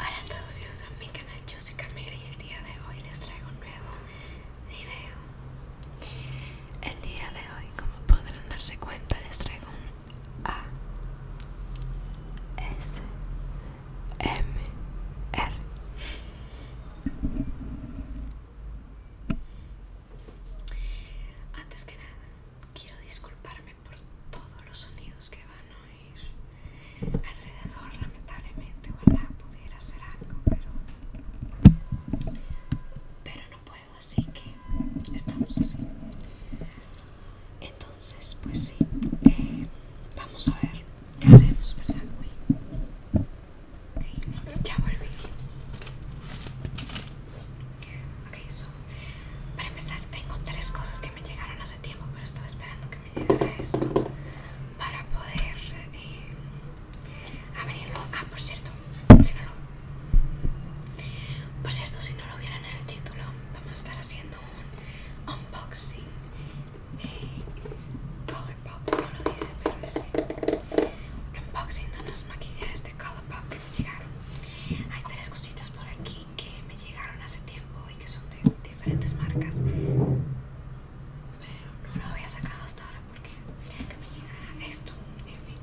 Hola a todos bienvenidos a mi canal, yo soy Camila y el día de hoy les traigo un nuevo video El día de hoy, como podrán darse cuenta, les traigo un A S M R Antes que nada, quiero disculparme por todos los sonidos que van hoy alrededor, lamentablemente. Ojalá pudiera hacer algo, pero, pero no puedo, así que estamos así. Entonces, pues sí, eh, vamos a ver qué hacemos, ¿verdad, ya volví so, para empezar tengo tres cosas que me llegaron hace tiempo, pero estaba esperando que me llegara esto para poder eh, abrirlo. Ah, por cierto, por cierto, si no lo vieron en el título, vamos a estar haciendo un unboxing de eh, Color lo dice, pero es un unboxing de unos maquillajes de Color que me llegaron. Hay tres cositas por aquí que me llegaron hace tiempo y que son de diferentes marcas pero no lo había sacado hasta ahora porque quería que me llegara esto en fin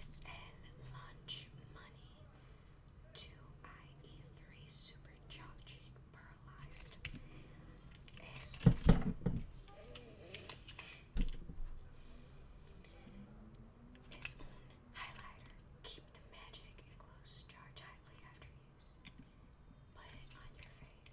SL Lunch Money 2IE3 Super Chalky Pearlized S S highlighter. Keep the magic in close jar tightly after use. Put it on your face.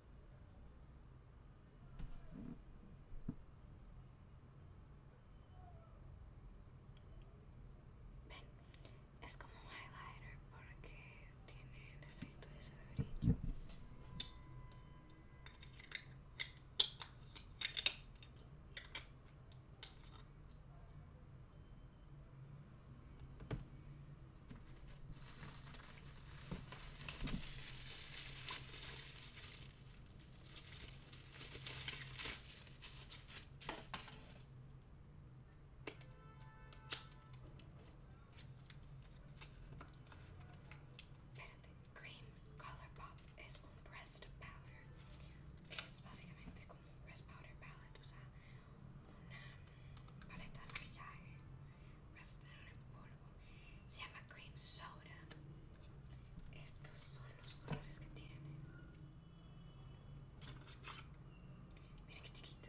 es como un highlighter porque tiene el efecto ese de brillo. Espérate, cream color pop es un powder. Es básicamente como un pressed powder palette, una paleta de maquillaje bastante en polvo se llama cream soda estos son los colores que tiene Mira qué chiquita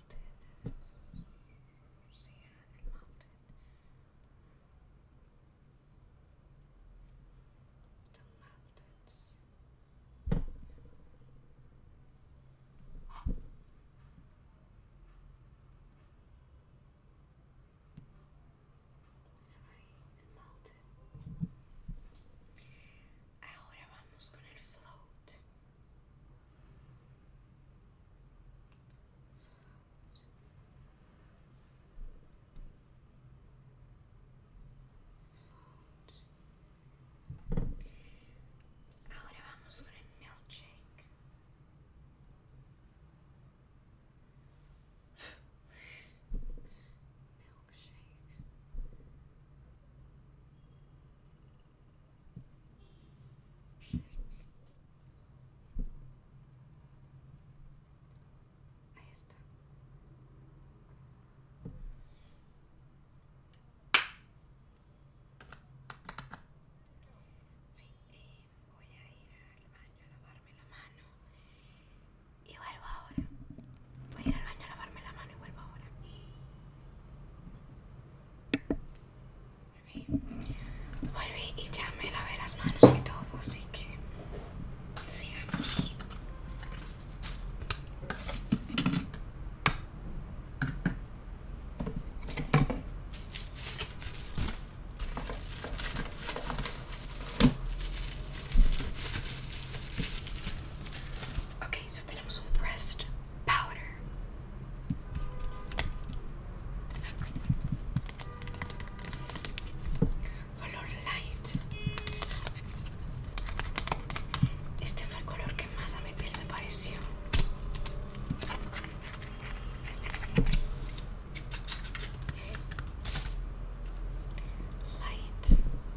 melted sand and to melt it. And I melted. I thought I gonna float. Ahora vamos con el milkshake. shake Shake. Ahí está. Fin, voy a ir al baño a lavarme la mano y vuelvo ahora. Voy a ir al baño a lavarme la mano y vuelvo ahora. Volví. y ya me lavé las manos y todo, así que sigamos. Ok, so tenemos un breast powder. Color light. Este fue el color que más a mi piel se pareció. Light.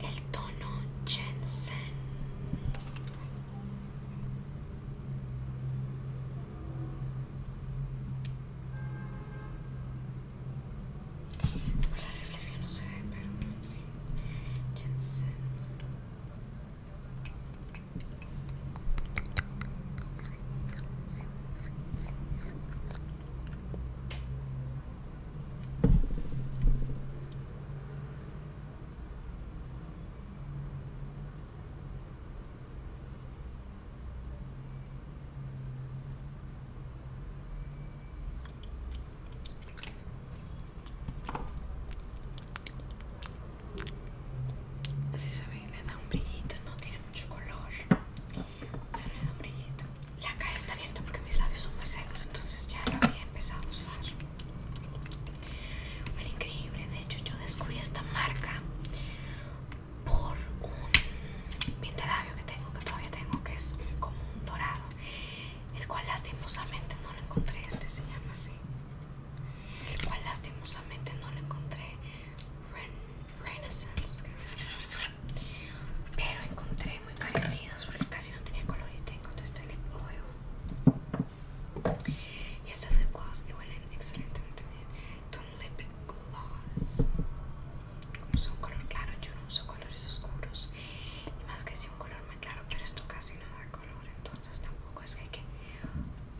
el tono Jensen la reflexión no se ve pero sí Jensen Vocês sabe ele dá um brilhito, não tem muito colores. Hum. Pero brillito. La cara está abierta porque mis labios son muy secos, entonces ya lo había empezado a usar. fue increíble. De hecho, yo descubrí esta marca por un pintelabio que tengo, que todavía tengo, que es como un dorado, el cual lastimosamente no lo encontré. Este se llama así. El cual lastimosamente no lo encontré. Renaissance, pero encontré muy parecidos porque casi no tenía color y tengo este lip oil y estas lip gloss que huelen excelentemente bien. Ton lip gloss, uso un color claro, yo no uso colores oscuros y más que si un color más claro, pero esto casi no da color, entonces tampoco es que hay que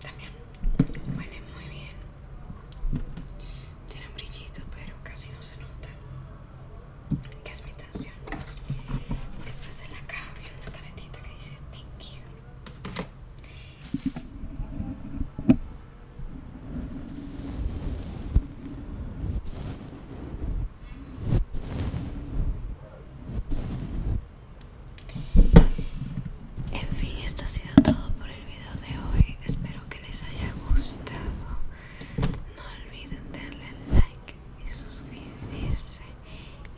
También huele muy bien. Tiene un brillito, pero casi no se nota. Que es mi intención. Después en la caja viene una paletita que dice thank you. En fin, esto ha sido todo por el video de hoy. Espero que les haya gustado. No olviden darle like y suscribirse.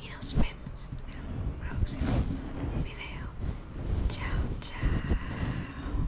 Y nos vemos en un próximo video. Chao, chao.